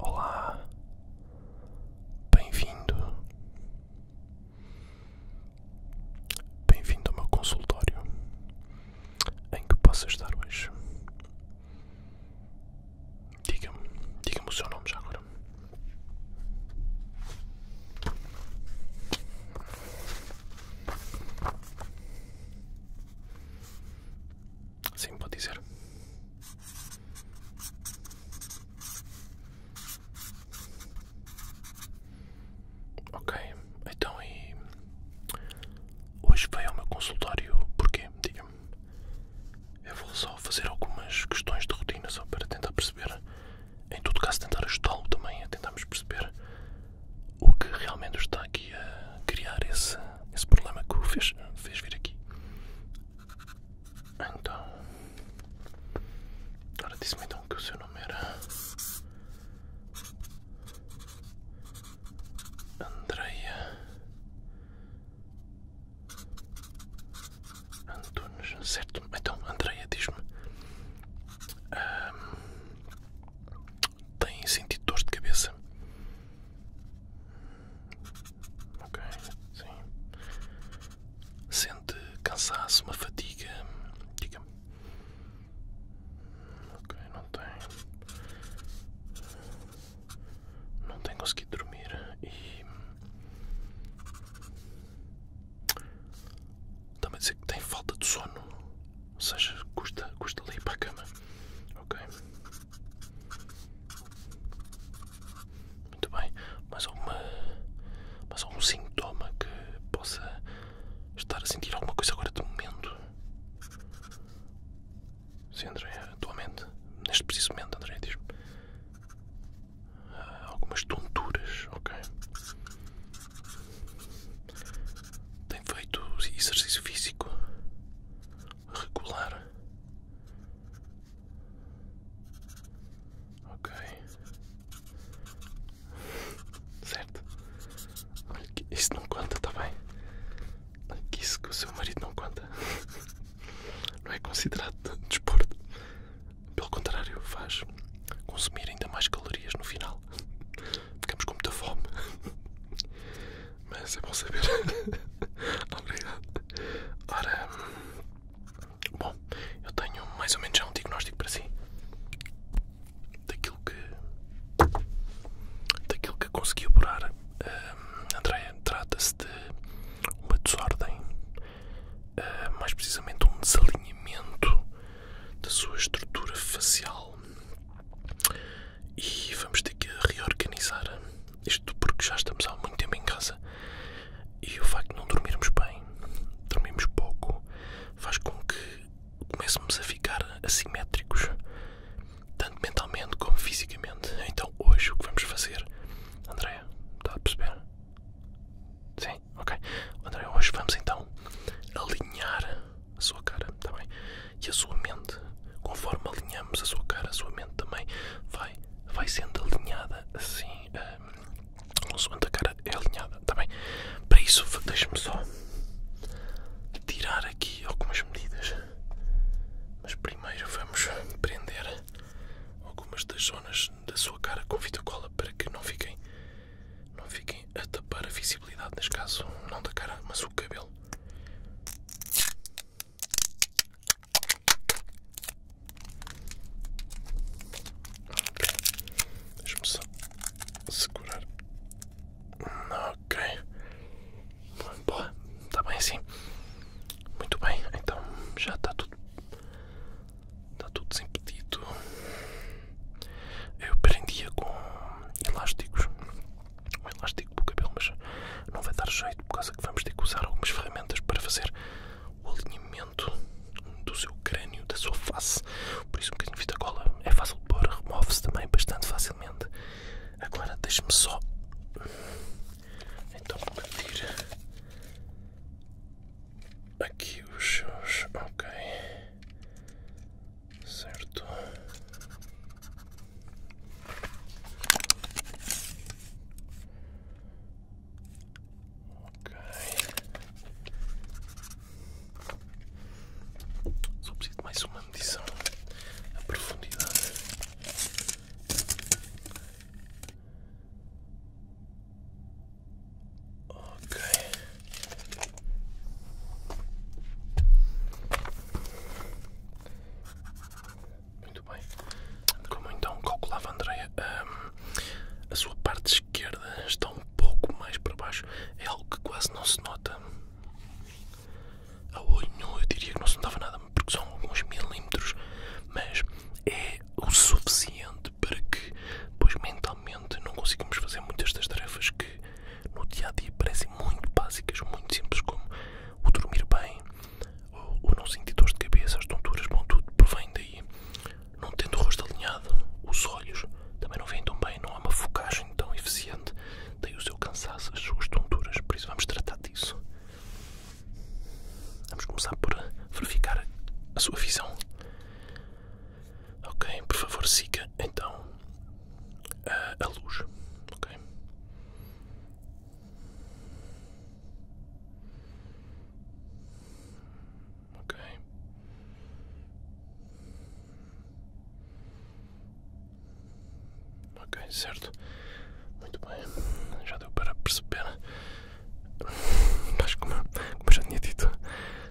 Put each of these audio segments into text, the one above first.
Olá, bem-vindo, bem-vindo ao meu consultório em que posso ajudar hoje. Diga-me, diga-me o seu nome já agora. Sim, pode dizer. Ok, então e hoje veio ao meu consultório porquê? Diga-me. Eu vou só fazer algumas questões de rotina só para tentar perceber em todo caso, tentar ajudá-lo também a tentarmos perceber o que realmente está aqui a criar esse, esse problema que o fez, fez vir aqui. Então, agora disse-me então que o seu nome era Andreia Antunes, certo? Então, Andreia, diz-me Hum, tem sentido dor de cabeça? Ok, sim. Sente cansaço, uma fatiga? Diga-me. Ok, não tem. Não tem conseguido dormir e. Também dizer que tem falta de sono, ou seja, custa, custa ali para a cama. Ok? Muito bem. Mais, alguma, mais algum sintoma que possa estar a sentir alguma coisa agora de momento? Sim, André, atualmente, neste preciso momento, André, diz-me algumas tonturas, ok? Tem feito exercício físico regular, ok? Certo? Olha que isso não conta, tá bem? Olha que isso que o seu marido não conta, não é considerado desporto. Pelo contrário, faz consumir ainda mais calorias no final. Ficamos com muita fome. Mas é bom saber. Obrigado. Ora, bom, eu tenho mais ou menos já um diagnóstico para si. Daquilo que. Daquilo que consegui apurar, um, trata-se de uma desordem ah, mais precisamente um desalinhamento da sua estrutura facial e vamos ter que reorganizar isto porque já estamos há muito tempo em casa e o facto de não dormirmos bem, dormirmos pouco, faz com que comecemos a ficar assimétricos, tanto mentalmente como fisicamente. Então hoje o que vamos fazer, Andréa, está a perceber? Sim, ok. André, hoje vamos então alinhar a sua cara, tá bem? E a sua mente. Conforme alinhamos a sua cara, a sua mente também vai, vai sendo alinhada assim. Um, segundo a cara é alinhada, tá bem? Para isso, deixe me só tirar aqui algumas medidas. Mas primeiro vamos prender algumas das zonas da sua cara com fita cola para que não fiquem, não fiquem a tapar a visibilidade, neste caso, não da cara, mas o cabelo. Deixa-me só segurar. Ok. Boa, está bem assim. Muito bem, então já está tudo Está tudo desimpedido. Eu prendia com elásticos. Um elástico para o cabelo, mas não vai dar jeito por causa que vamos ter que usar algumas ferramentas para fazer o alinhamento do seu crânio, da sua face. Por isso, um bocadinho de fita cola é fácil de pôr, remove-se também bastante facilmente. Agora, deixe-me só então pedir aqui os seus, ok, certo. Ok. Só preciso mais uma medição. A profundidade. Ok. Muito bem. Como então calculava, Andreia, hum, a sua parte esquerda está um pouco mais para baixo. É algo que quase não se nota. A olho eu diria que não se notava nada porque são alguns milímetros, mas é o suficiente para que, pois mentalmente, não conseguimos fazer muitas das tarefas que no dia a dia parecem muito básicas, muito simples, como o dormir bem, o não sentir dor de cabeça, as tonturas, bom, tudo provém daí. Não tendo o rosto alinhado, os olhos também não vêm tão bem, não há uma focagem tão eficiente, daí o seu cansaço, as suas tonturas, por isso vamos tratar disso. Vamos começar por verificar a sua visão. Ok, por favor, siga então a, luz. Ok. Ok, certo. Muito bem. Já deu para perceber. Acho que como já tinha dito,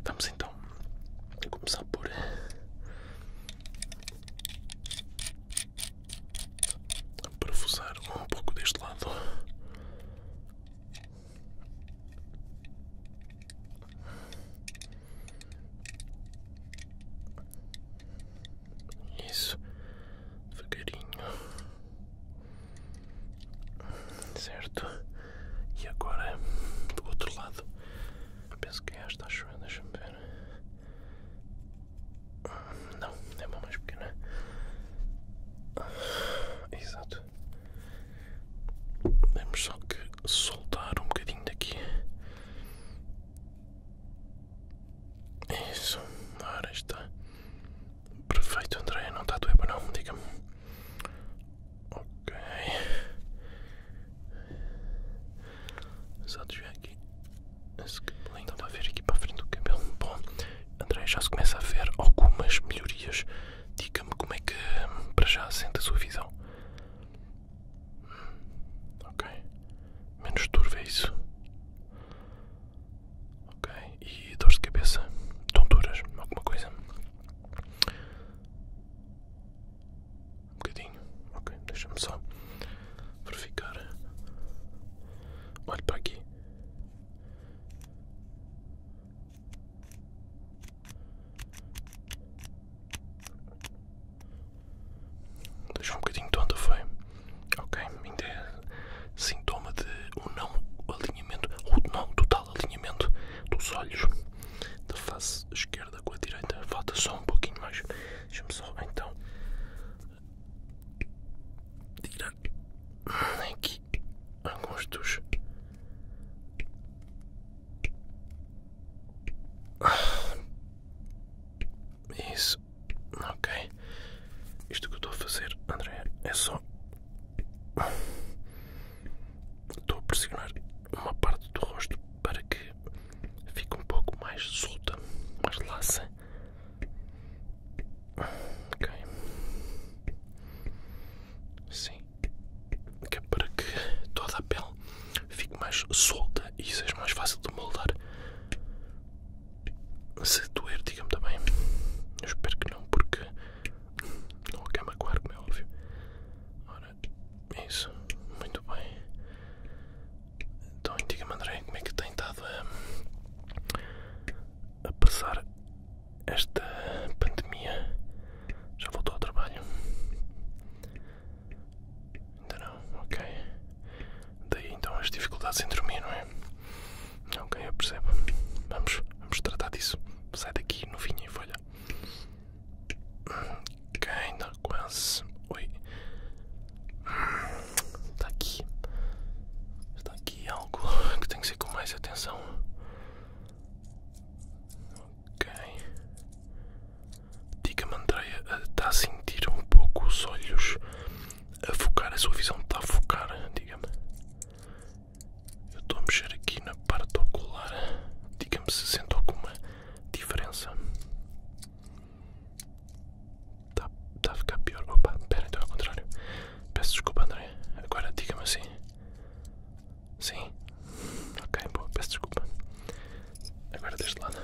vamos então começar por. Eh, Parafusar um pouco deste lado. Isso. Devagarinho. Certo. E agora do outro lado. penso que é esta, acho eu. Deixa-me ver. Não, é uma mais pequena. Exato. Temos só que soltar um bocadinho daqui. Isso, agora está. Perfeito, André, não está a doer não, diga-me. Ok. Só ver aqui. Estava a ver aqui para a frente o cabelo. Bom, André, já se começa a ver algumas melhorias. Diga-me como é que para já sente a sua visão. Ok. Menos turvo é isso. Ok. E dores de cabeça? Tonturas? Alguma coisa? Um bocadinho. Ok. Deixa-me só verificar. Olhe para aqui. Deixa um bocadinho de tonta, foi? Ok, ainda é sintoma de o não alinhamento, o não total alinhamento dos olhos da face esquerda com a direita. Falta só um pouquinho mais. Deixa-me só então tirar aqui alguns dos isso. Ok. Isto que eu estou a fazer, André, é só. Estou a pressionar uma parte do rosto para que fique um pouco mais solta, mais laça. Ok. Sim. Que é para que toda a pele fique mais solta e seja é mais fácil de moldar. Se doer, diga-me também. Eu espero que não, porque não quer magoar, como é óbvio. Ora, é isso, muito bem. Então, diga-me, André, como é que tem estado a passar esta pandemia? Já voltou ao trabalho? Ainda então não, ok. Daí então as dificuldades em dormir, não é? Ok, eu percebo. Vamos, vamos tratar disso. Sai daqui, novinha e folha. Ok, ainda tá quase. Oi. Está aqui. Está aqui algo que tem que ser com mais atenção. Ok. Diga-me, Andreia, eh, está a sentir um pouco os olhos a focar? A sua visão está a focar? Diga-me. Eu estou a mexer aqui na parte ocular. Diga-me se sente alguma diferença. Está tá a ficar pior. Opa, espera, então é ao contrário. Peço desculpa, André. Agora diga-me assim. Sim. Ok, boa, peço desculpa. Agora deste lado.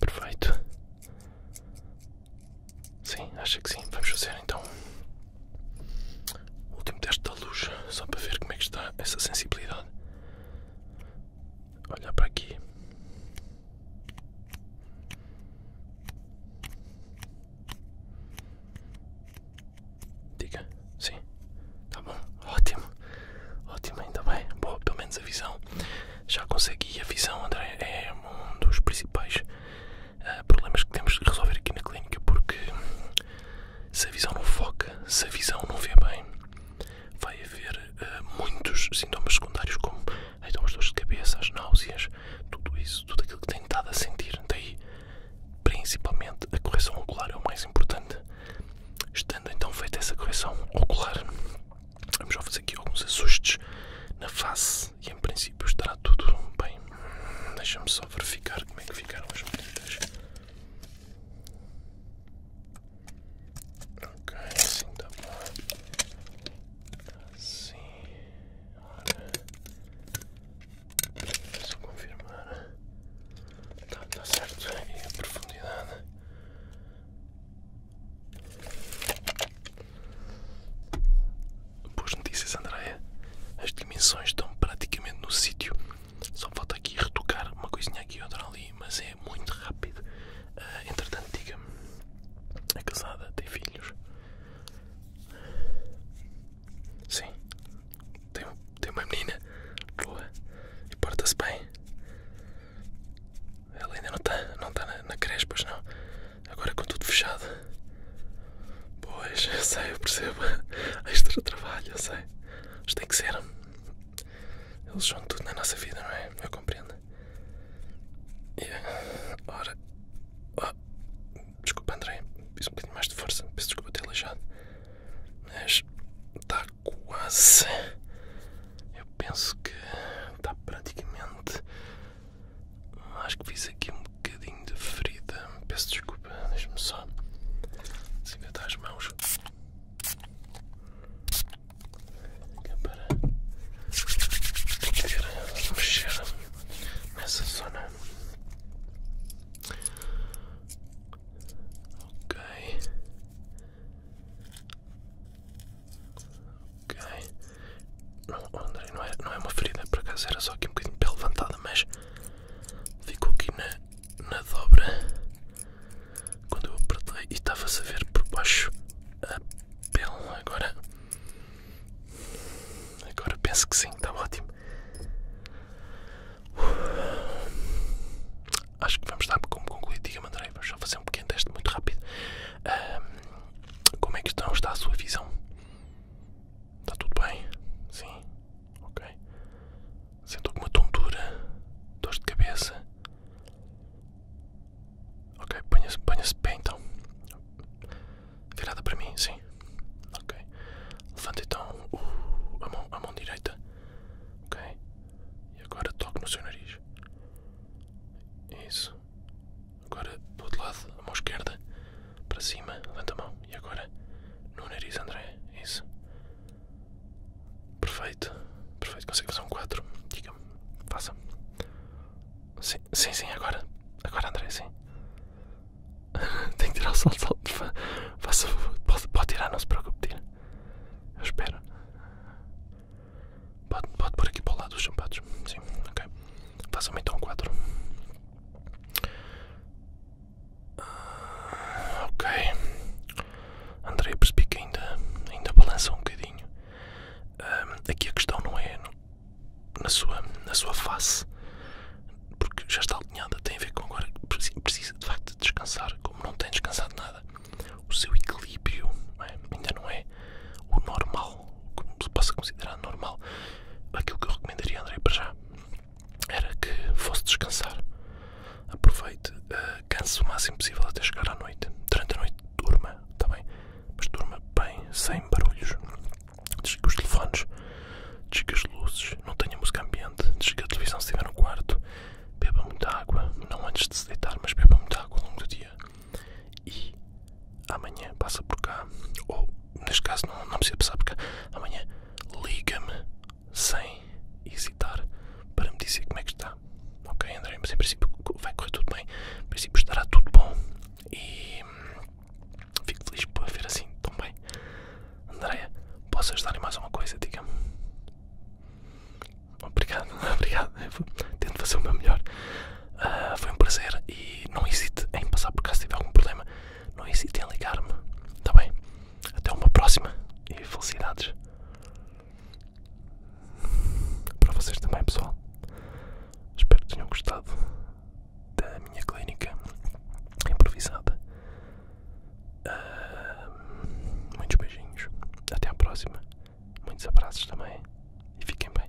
Perfeito. Sim, acho que sim. Vamos fazer então o último teste da luz, só para ver como é que está essa sensibilidade. Olhar para aqui. Diga, sim. Tá bom, ótimo. Ótimo, ainda bem. Boa, pelo menos a visão. Já consegui. A visão, André, é um dos principais eh, problemas que temos de resolver aqui na clínica. Porque se a visão não foca, se a visão não vê bem, vai haver eh, muitos sintomas secundários, como as dores de cabeça, as náuseas, tudo isso, tudo aquilo que tem estado a sentir. Daí Principalmente a correção ocular é o mais importante. Estando então feita essa correção ocular, vamos só fazer aqui alguns ajustes na face e em princípio estará tudo bem. Deixa-me só verificar como é que ficaram as medidas. Ok, assim está bom. Assim. Ora. Só confirmar. Tá, tá certo. E é a profundidade. Boas notícias, Andréia. As dimensões estão praticamente no sítio. Só falta aqui retocar uma coisinha aqui e outra ali, mas é muito rápido. Uh, entretanto, diga-me: é casada, tem filhos? Sim. Tem, tem uma menina. Boa. E porta-se bem. Ela ainda não está não tá na, na creche, pois não. Agora com tudo fechado. Pois, eu sei, eu percebo. Extra trabalho, eu sei. Mas tem que ser. Eles são tudo na nossa vida, não é? Eu compreendo. e agora Desculpa, André, fiz um bocadinho mais de força. Peço desculpa ter aleijado. Mas está quase. Eu penso que está praticamente. Acho que fiz aqui um bocadinho de ferida. Peço desculpa, deixa-me só desinfetar as mãos. é para poder mexer nessa zona Ok. Ok. Não, oh não é, não é uma ferida, por acaso era só aqui um bocadinho de pele levantada, mas ficou aqui na, na dobra quando eu apertei e estava-se a ver por baixo a pele. Agora Agora penso que sim, está ótimo. Acho que vamos dar como concluído. Diga-me, André, vamos só fazer um pequeno teste muito rápido. como é que estão? Está a sua visão? Está tudo bem? Sim? Ok. Sente alguma tontura? dores de cabeça? Ok, ponha-se ponha pé então. Virada para mim, sim. Ok. Levanta então a, mão, direita. Ok. E agora toque no seu nariz. Isso. Agora do outro lado, a mão esquerda. Para cima, levanta a mão. E agora no nariz, André. Isso. Perfeito. Perfeito. Consegue fazer um 4. Diga-me. Faça. Sim, sim, agora. Agora, André, sim. Tem que tirar o salto, salto. Fa faça Pode, tirar, não se preocupe, tira. Eu espero. Pode, pode pôr aqui para o lado dos champados. Sim, ok. Faça-me então um quadro. Ah, ok. André, percebi que ainda, ainda balança um bocadinho. Ah, aqui a questão não é, na sua, na sua face, porque já está alinhada, tem a ver com agora precisa de facto descansar, como não tem descansado nada, o seu equilíbrio é? ainda não é o normal, como se possa considerar normal. Aquilo que eu recomendaria, André, para já era que fosse descansar. Aproveite, uh, canse o máximo possível até chegar à noite. Durante a noite, durma, também tá mas durma bem, sem barulhos. desligue os telefones, desligue as luzes, não tenha música ambiente, desligue a televisão se estiver no quarto, beba muita água, não antes de se deitar, mas beba muita água ao longo do dia. E amanhã passa por cá, ou neste caso não, não precisa passar por cá, amanhã liga-me sem hesitar para me dizer como é que está. Ok, André, mas em princípio vai correr tudo bem. Em princípio estará tudo bom. E hum, fico feliz por ver assim tão bem. Andréia, posso ajudar em mais uma coisa? diga Obrigado, obrigado. Tento fazer o meu melhor. Ah, foi um prazer e não hesite em passar por cá se tiver algum problema. Não hesite em ligar-me. Está bem? Até uma próxima e felicidades. Para vocês também, pessoal. Espero que tenham gostado da minha clínica improvisada. Ah, muitos beijinhos. Até a próxima. Muitos abraços também. E fiquem bem.